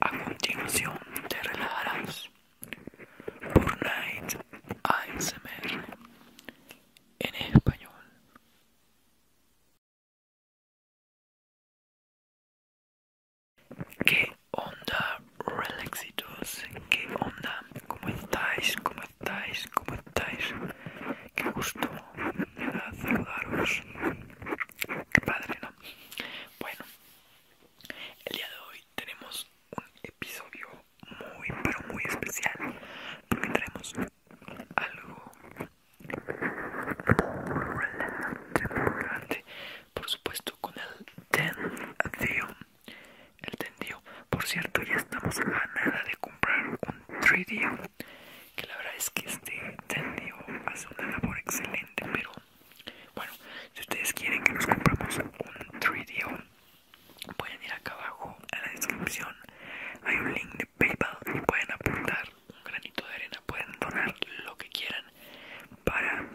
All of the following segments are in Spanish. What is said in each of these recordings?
A continuación te relajarás por Night ASMR en español. ¿Qué onda, relaxitos? ¿Qué onda? ¿Cómo estáis? ¿Cómo estáis? ¿Cómo estáis? qué gusto saludaros. Qué padre, ¿no? Bueno, el día de hoy tenemos un episodio muy, pero muy especial porque tenemos algo muy relevante Por supuesto, con el tendio. El tendio, por cierto, ya estamos a nada de comprar un 3D que la verdad es que este tendido hace una labor excelente pero bueno si ustedes quieren que nos compramos un tridio pueden ir acá abajo a la descripción hay un link de paypal y pueden aportar un granito de arena pueden donar lo que quieran para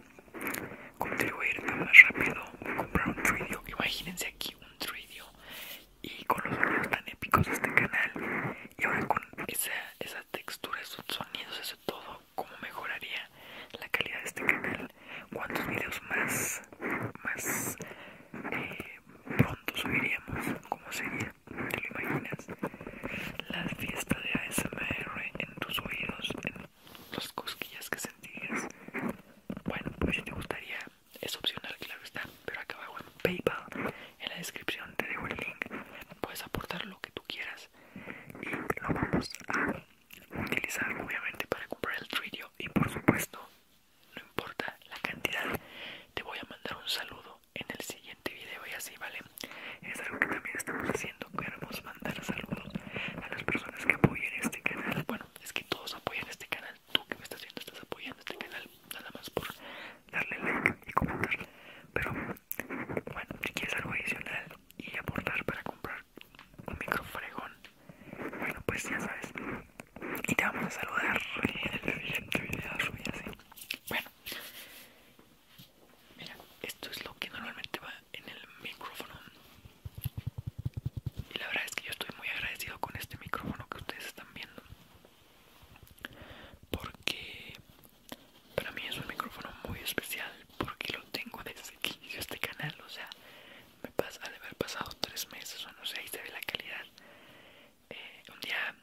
contribuir a más rápido comprar un tridio, imagínense aquí un tridio y con los sonidos tan épicos de este canal y ahora con esa, textura, esos sonidos, eso todo, cómo mejoraría la calidad de este canal, cuántos videos más, más eh, pronto subiríamos, cómo sería, te lo imaginas, la fiesta de ASMR en tus oídos, en las cosquillas que sentías bueno, pues si te gustaría, es opcional, claro está, pero acá abajo en Paypal en la descripción te dejo el link puedes aportar lo que tú quieras y lo vamos a utilizar obviamente para comprar el trillo y por supuesto no importa la cantidad te voy a mandar un saludo en el siguiente video y así vale es algo que también estamos haciendo queremos mandar saludos a las personas que apoyen este canal bueno es que todos apoyan este canal tú que me estás viendo estás apoyando este canal nada más por darle like y comentar. Pero bueno, si quieres algo adicional y aportar para comprar un microfregón, bueno, pues ya sabes. Y te vamos a saludar en el siguiente video. Bueno, mira, esto es lo que normalmente va en el micrófono. Y la verdad es que yo estoy muy agradecido con este micrófono que ustedes están viendo porque para mí es un micrófono muy especial porque lo tengo desde que inició este canal o sea me pasa de haber pasado tres meses o no sé ahí se ve la calidad eh, un día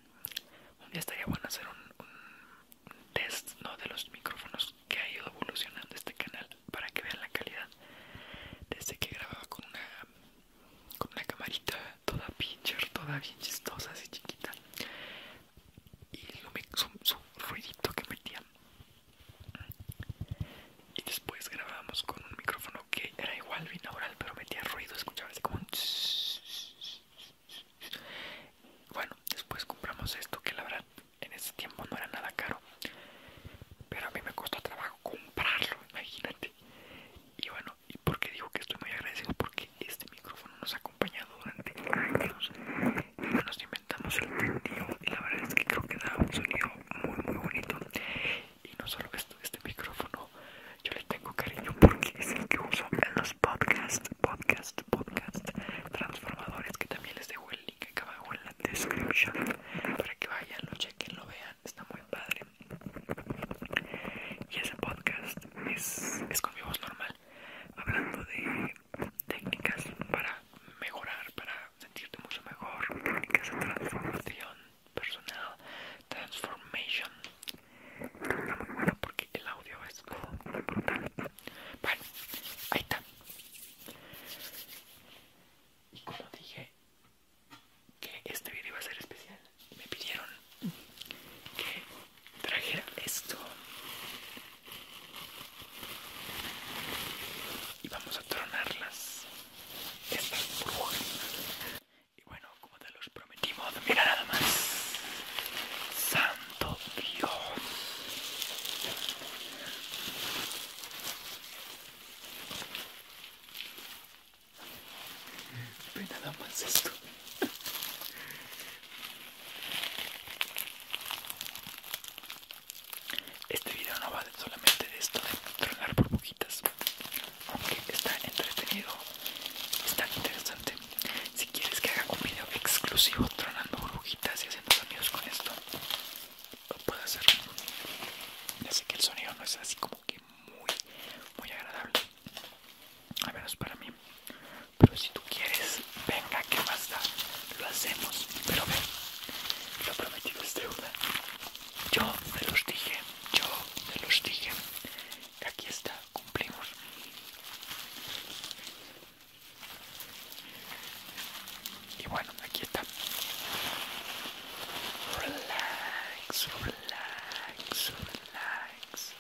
un día estaría bueno hacer un, un test no de los micrófonos que ha ido evolucionando este canal para que vean la calidad desde que grababa con una con una camarita toda pincher, toda bien chistosa, así chiquita. Y lo su, ruidito que metía Y después grabábamos con un micrófono que era igual binaural, pero metía ruido, escuchaba así como un... Bueno, después compramos esto que la verdad en ese tiempo no era nada caro. Pero a mí me costó trabajo comprarlo, imagínate. Y bueno, y qué digo que estoy muy agradecido porque este micrófono nos ha acompañado durante años. nos inventamos el tío y la verdad es que creo que da un sonido muy muy bonito. Y no solo esto, este micrófono yo le tengo cariño porque es el que uso en los podcasts, podcast, podcast transformadores que también les dejo el link acá abajo en la descripción para que vayan, lo chequen, lo vean, está muy padre y ese podcast es, es con mi voz normal, hablando de técnicas para mejorar, para sentirte mucho mejor, técnicas de transformación personal, transformation. Está bueno porque el audio es Muy brutal. Bueno, ahí está. Y como dije, que este vídeo iba a ser especial. Me pidieron que trajera esto. Y vamos a tronarlas. Estas burbujas. Y bueno, como te los prometimos, mira nada más. Santo Dios nada más esto. Este video no va solamente de esto de tronar burbujitas, aunque está entretenido, está interesante. Si quieres que haga un video exclusivo tronando burbujitas y haciendo sonidos con esto, lo puedo hacer. Ya sé que el sonido no es así como que muy muy agradable a menos para mí pero si tú quieres venga que basta lo hacemos pero ven lo prometido es deuda yo te los dije yo te los dije aquí está cumplimos y bueno aquí está relax relax, relax,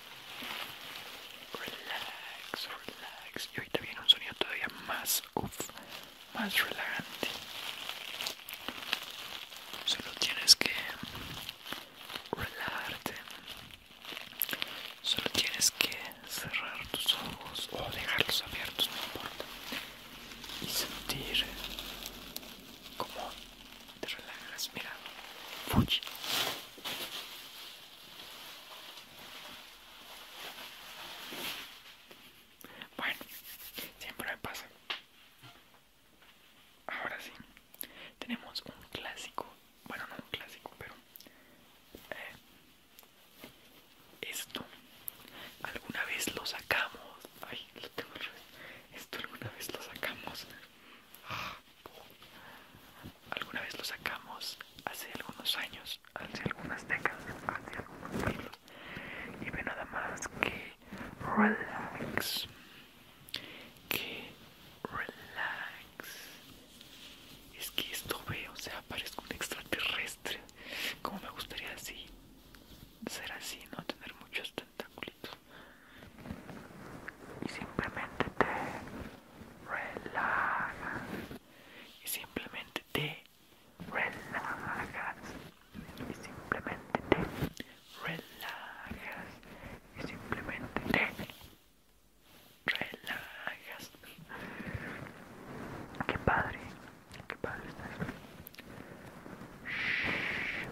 relax, relax. Y ahorita viene un sonido todavía más, uff, más relajante. Solo tienes que relajarte. Solo tienes que cerrar tus ojos o dejarlos abiertos, no importa. Y sentir como te relajas, mira, fuchi. Bueno, siempre me pasa. Ahora sí, tenemos un clásico, bueno no un clásico, pero eh, esto alguna vez lo sacamos. Ay, lo tengo al esto alguna vez lo sacamos. Ah, alguna vez lo sacamos hace algunos años, hace algunas décadas, hace algunos siglos. Y ve nada más que relax. Que relax. Es que esto ve, o sea, parezco un extraterrestre. Como me gustaría así ser así, no tener muchos tentáculos y simplemente te relajas y simplemente te relajas y simplemente te relajas y simplemente te relajas qué padre qué padre está. Shh,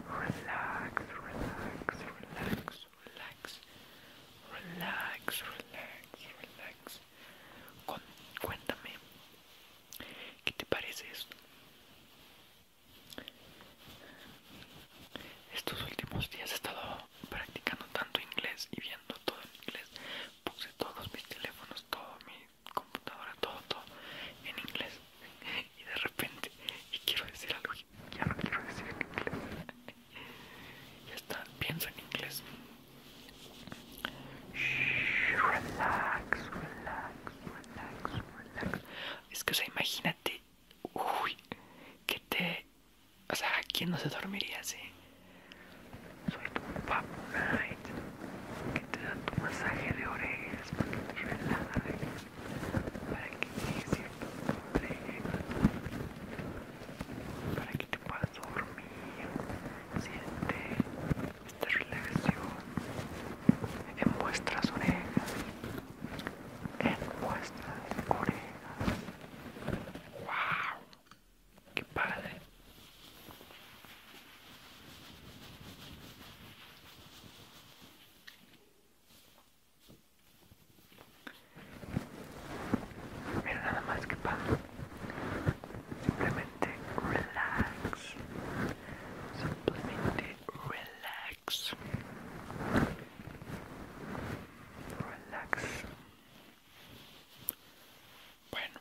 relax, relax, relax, relax, relax, relax, relax. cuéntame, ¿qué te parece esto? Estos últimos días he estado practicando tanto inglés y viendo todo en inglés. Puse todos mis teléfonos, todo mi computadora, todo, todo en inglés. Y de repente, y quiero decir algo, ya no quiero decir en inglés. Ya está, pienso en inglés. relax, relax, relax, relax. Es que, o sea, imagínate, uy, que te. O sea, ¿quién no se dormiría así? Soy que te da tu masaje de orejas para que te relajes, para que te sientas entrega para que te puedas dormir. Siente esta relación en vuestras orejas, en vuestras orejas. ¡Wow! ¡Qué padre! Mira nada más que pa' Simplemente relax. Simplemente relax. Relax. Bueno.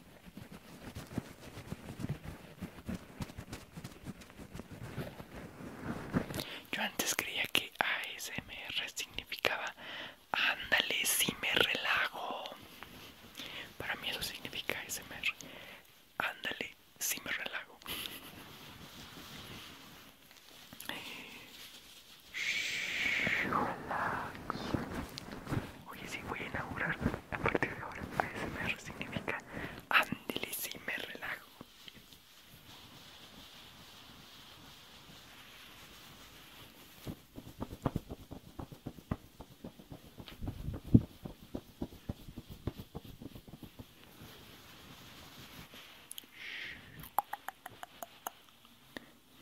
Yo antes creía que ASMR significaba ándale si me relajo. Para mí eso significa ASMR. Ándale si me relajo. Oye, si, voy a inaugurar a partir de ahora. ASMR significa y si me relajo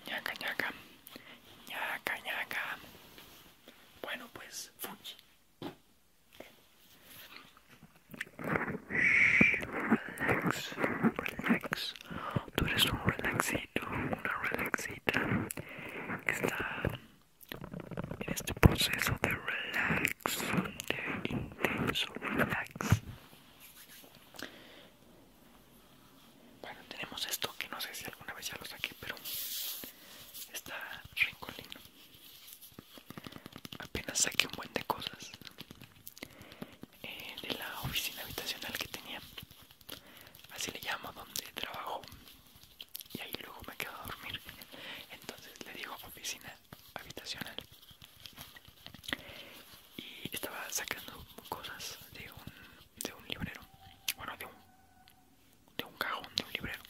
ñaca ñaca, ñaca ñaca. Bueno, pues shhh, Relax, relax. Tú eres un relaxito, una relaxita que está en este proceso de relax, de intenso relax. Bueno, tenemos esto que no sé si alguna vez ya lo saqué, pero está rincolino. Apenas saqué un buen de cosas eh, de la oficina habitacional que tenía, así le llamo donde trabajo, y ahí luego me quedo a dormir. Entonces le digo oficina habitacional. Y estaba sacando cosas de un, de un librero, bueno, de un de un cajón de un librero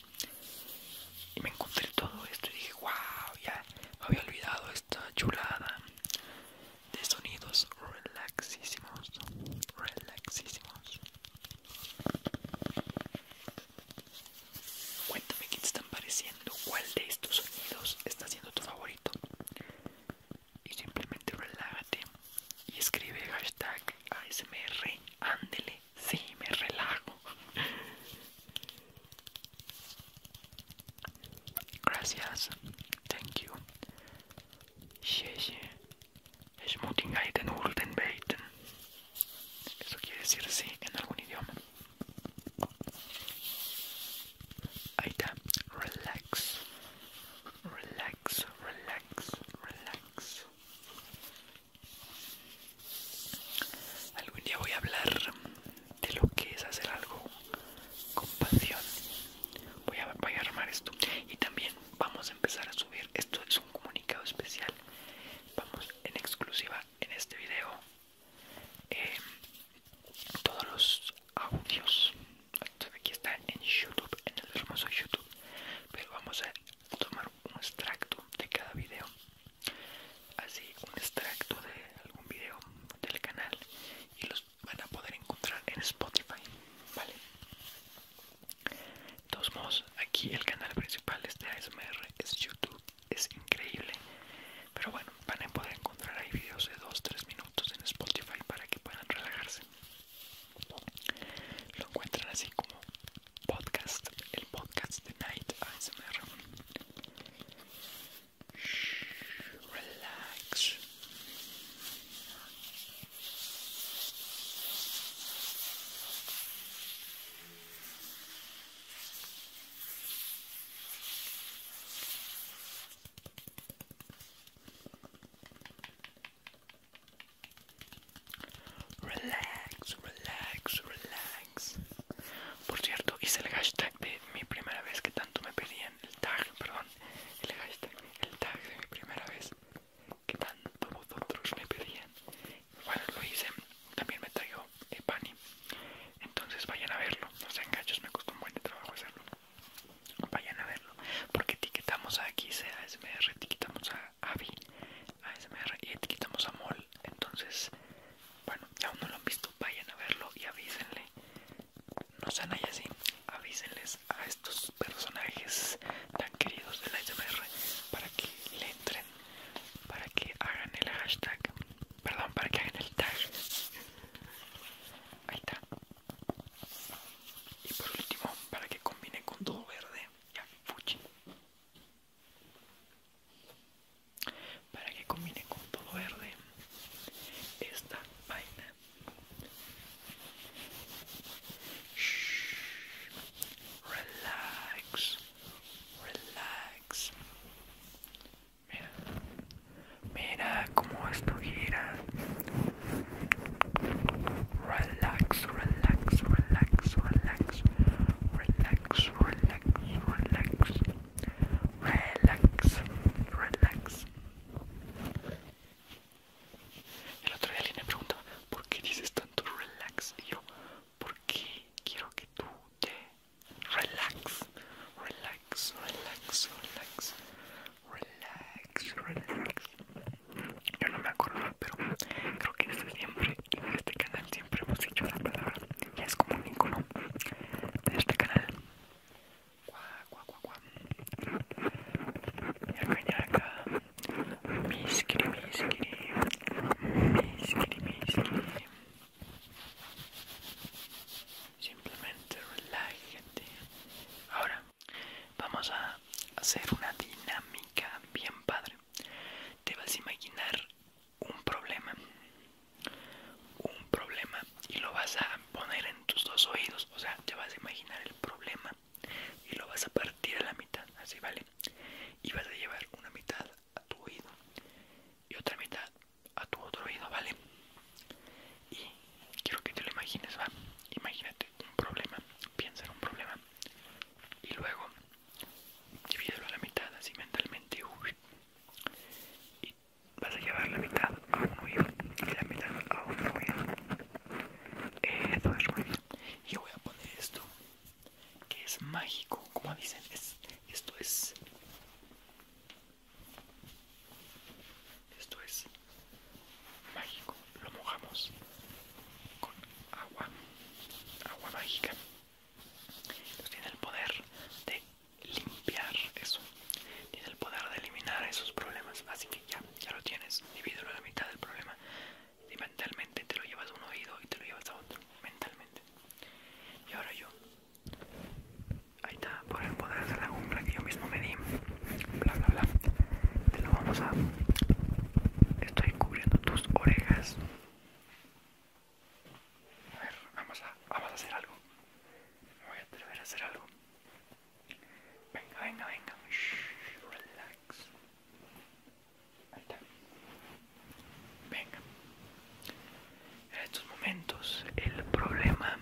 y me encontré todo esto y dije wow ya había olvidado esta chulada de sonidos relaxísimos relaxísimos cuéntame qué te están pareciendo cuál de estos sonidos está siendo tu favorito y simplemente relájate y escribe hashtag ASMR, ándele, sí, me relajo. Gracias, thank you. Es Eso quiere decir sí en algún idioma. Ahí Relax. Relax, relax relax, Algún día voy a hablar de lo que es hacer algo con pasión. Voy a, armar esto. Y también vamos a empezar a subir. Esto es un comunicado especial. Vamos en exclusiva en este video. Eh, todos los audios aquí está en youtube en el hermoso youtube pero vamos a tomar un extracto de cada vídeo así un extracto de algún vídeo del canal y los van a poder encontrar en spotify vale de aquí el canal principal de ASMR es youtube es increíble pero bueno van a poder encontrar ahí videos de 2-3 minutos en Spotify para que puedan relajarse. Lo encuentran así como podcast, el podcast de Night ASMR. Shh, Relax. Relax, relax, relax. Por cierto, hice el hashtag de mi primera vez que tanto me pedían. El tag, perdón. El hashtag, el tag de mi primera vez que tanto vosotros me pedían. Bueno, lo hice. También me traigo el Pani. Entonces vayan a verlo. No sean gachos, me costó un buen de trabajo hacerlo vayan a verlo porque etiquetamos a X, a etiquetamos a Avi, a y etiquetamos a Mol. Entonces, bueno, ya uno lo han visto, vayan a verlo y avísenle. No sean ahí así, avísenles a estos personajes tan queridos del ASMR para que le entren, para que hagan el hashtag, perdón, para que hagan el tag. Ahí está, y por último, para que combine con todo verde, ya fuchi. Para que combine con todo verde, esta vaina. shhh Relax, relax. Mira, Mira cómo esto gira. Relax, relax, relax, relax, relax, relax, relax, relax, relax. El otro día alguien me preguntó, ¿por qué dices tanto relax? Y yo, ¿por qué quiero que tú te relax? Relax, relax, relax relax, relax. Yo no me acuerdo, pero creo que este siempre, en este canal siempre hemos hecho la palabra. Ya es como un icono de este canal. Guau, guau, guau, guau. Ñaca, ñaca. Miskiri, miskiri. Miskiri, miskiri. Simplemente relájate. Ahora, Vamos a hacer una dinámica bien padre. Te vas a imaginar un problema. Un problema y lo vas a poner en tus dos oídos. O sea, te vas a imaginar el problema y lo vas a partir a la mitad. Así vale. Y vas a llevar una mitad a tu oído y otra mitad a tu otro oído, ¿vale? y quiero que te lo imagines, va. Imagínate un problema, piensa en un problema y luego divídelo a la mitad, así mentalmente, uy, y vas a llevar la mitad a un oído y la mitad a otro oído. Eso es muy Yo voy a poner esto que es mágico, como dicen, esto es esto es mágico. Lo mojamos con agua, agua mágica. tiene el poder de limpiar eso. Tiene el poder de eliminar esos problemas. Así que ya, ya lo tienes. Divídelo a la mitad del problema. Y mentalmente te lo llevas a un oído y te lo llevas a otro. Mentalmente. Y ahora yo Ahí está, por el poder de la cumbre que yo mismo me di. Bla bla bla. Te lo vamos a. Estoy cubriendo tus orejas. A ver, vamos a, vamos a hacer algo. Me voy a atrever a hacer algo. Venga, venga, venga. shhh, relax. Ahí está. Venga. En estos momentos el problema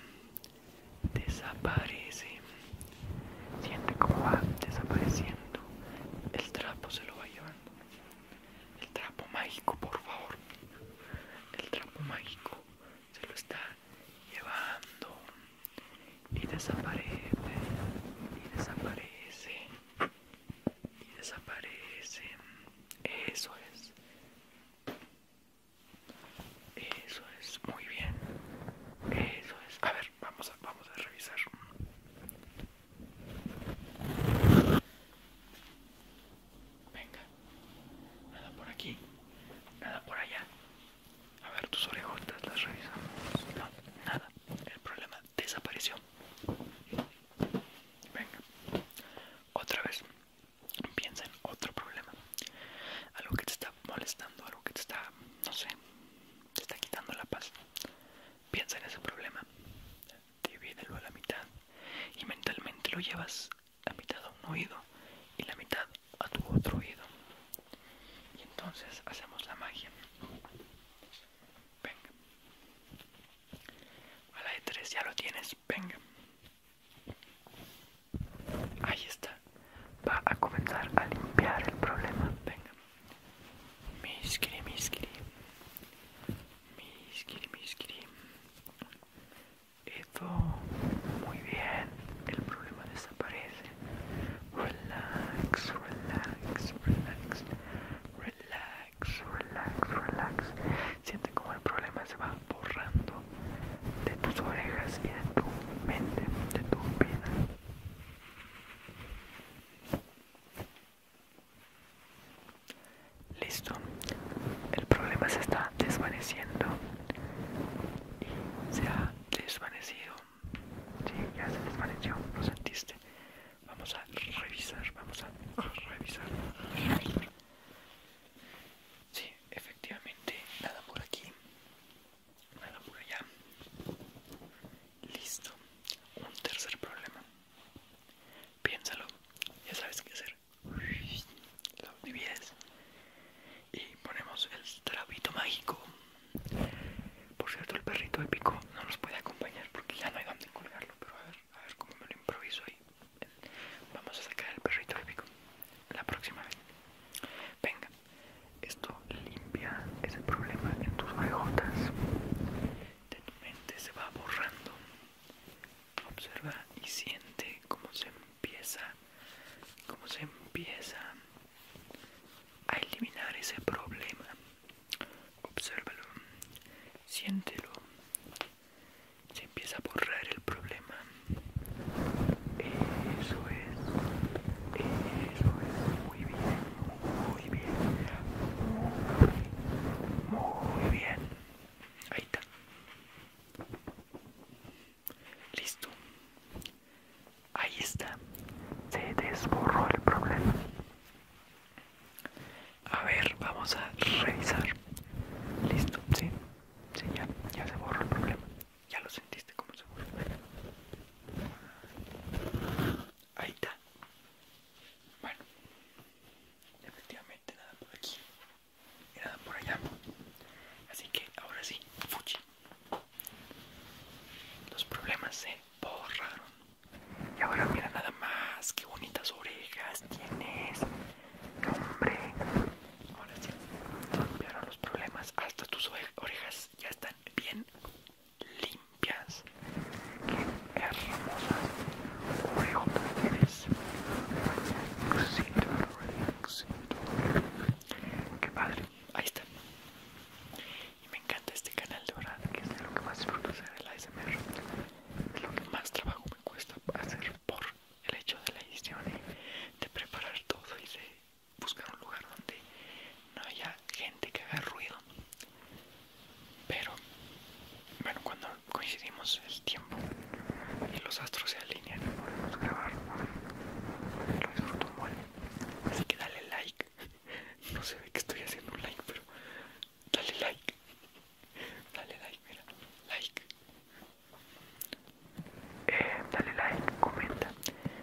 desaparece. Siente como va desapareciendo. El trapo se lo va llevando. El trapo mágico, por favor. El trapo mágico se lo está llevando. Y desaparece. Y desaparece. Y desaparece. Eso es. Eso es, muy bien. Eso es. A ver, vamos a, vamos a revisar. Venga. Nada por aquí. Nada por allá. A ver, tus orejotas las revisamos. No, nada. El problema desapareció. Venga. Otra vez piensa en otro problema, algo que te está molestando, algo que te está, no sé, te está quitando la paz. Piensa en ese problema, divídelo a la mitad y mentalmente lo llevas a mitad a un oído y la mitad a tu otro oído. Y entonces hacemos la magia. Venga. A la de 3 ya lo tienes. Venga. Ahí está. Va a comenzar a limpiar el problema. Venga. Miskiri, miskiri. Miskiri, miskiri. Eso. Muy bien. El problema desaparece. Relax, relax, relax. Relax, relax, relax. Siente como el problema se va borrando de tus orejas y de tu mente, de tu vida. Listo, el problema se está desvaneciendo y se ha desvanecido. Sí, ya se desvaneció, lo sentiste. Vamos a revisar, vamos a revisar efectivamente nada por aquí nada por allá listo un tercer problema piénsalo ya sabes qué hacer lo divides y ponemos el trapito mágico por cierto el perrito épico no nos puede acompañar porque ya no hay donde colgarlo pero a ver a ver cómo me lo improviso ahí Vamos a sacar el perrito épico la próxima vez. Venga, esto limpia ese problema en tus bajotas. De tu mente se va borrando. Observa y siente cómo se empieza, cómo se empieza a eliminar ese problema. Obsérvalo, siéntelo, se empieza a borrar el problema. Eso es, eso es, muy bien, muy bien, muy bien. Ahí está. Listo. Ahí está. Se desborró el problema. A ver, vamos a revisar. Listo, ¿sí? Sí, ya, se borró el problema. Ya lo sentiste como se borró. Ahí está. Bueno, efectivamente nada por aquí y nada por allá. Así que ahora sí, fuchi. Los problemas se borraron. Y ahora mira nada más qué bonitas orejas tienes. Hombre, ahora sí, limpiaron los problemas. Hasta tus orejas ya están bien limpias. Qué hermosas orejotas tienes. Qué padre, ahí está. Y me encanta este canal de verdad, que es de lo que más disfruto hacer el ASMR. Es lo que más trabajo me cuesta hacer por el hecho de la edición de preparar todo y de buscar un lugar donde no haya gente que haga ruido pero bueno cuando coincidimos el tiempo y los astros se alinean podemos grabar lo disfruto así que dale like no se ve que estoy haciendo un like pero dale like Dale like, mira, like. Eh, dale like, comenta.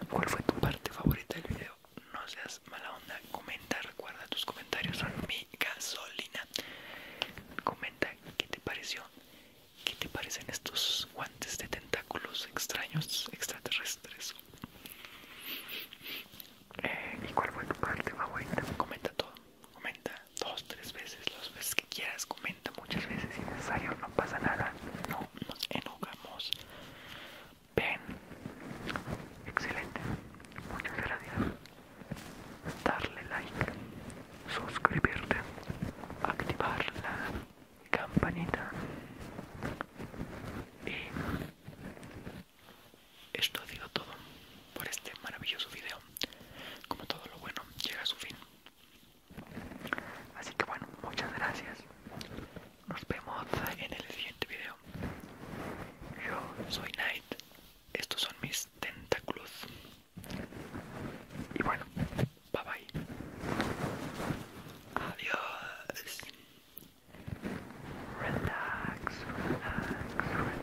¿Cuál fue tu parte favorita del video? No seas mala onda, comenta, recuerda tus comentarios son mi gasolina. Comenta qué te pareció, qué te parecen estos guantes de tentáculos extraños extraterrestres. Eh, ¿Y cuál fue tu parte favorita? Comenta todo, comenta dos, tres veces, las veces que quieras, comenta muchas veces si necesario, no pasa nada, no nos enojamos. Ven, excelente, muchas gracias. Darle like, suscribirte, activar la campanita y esto ha sido todo por este maravilloso video como todo lo bueno llega a su fin así que bueno muchas gracias nos vemos en el siguiente video yo soy Knight estos son mis tentáculos y bueno bye bye adiós relax relax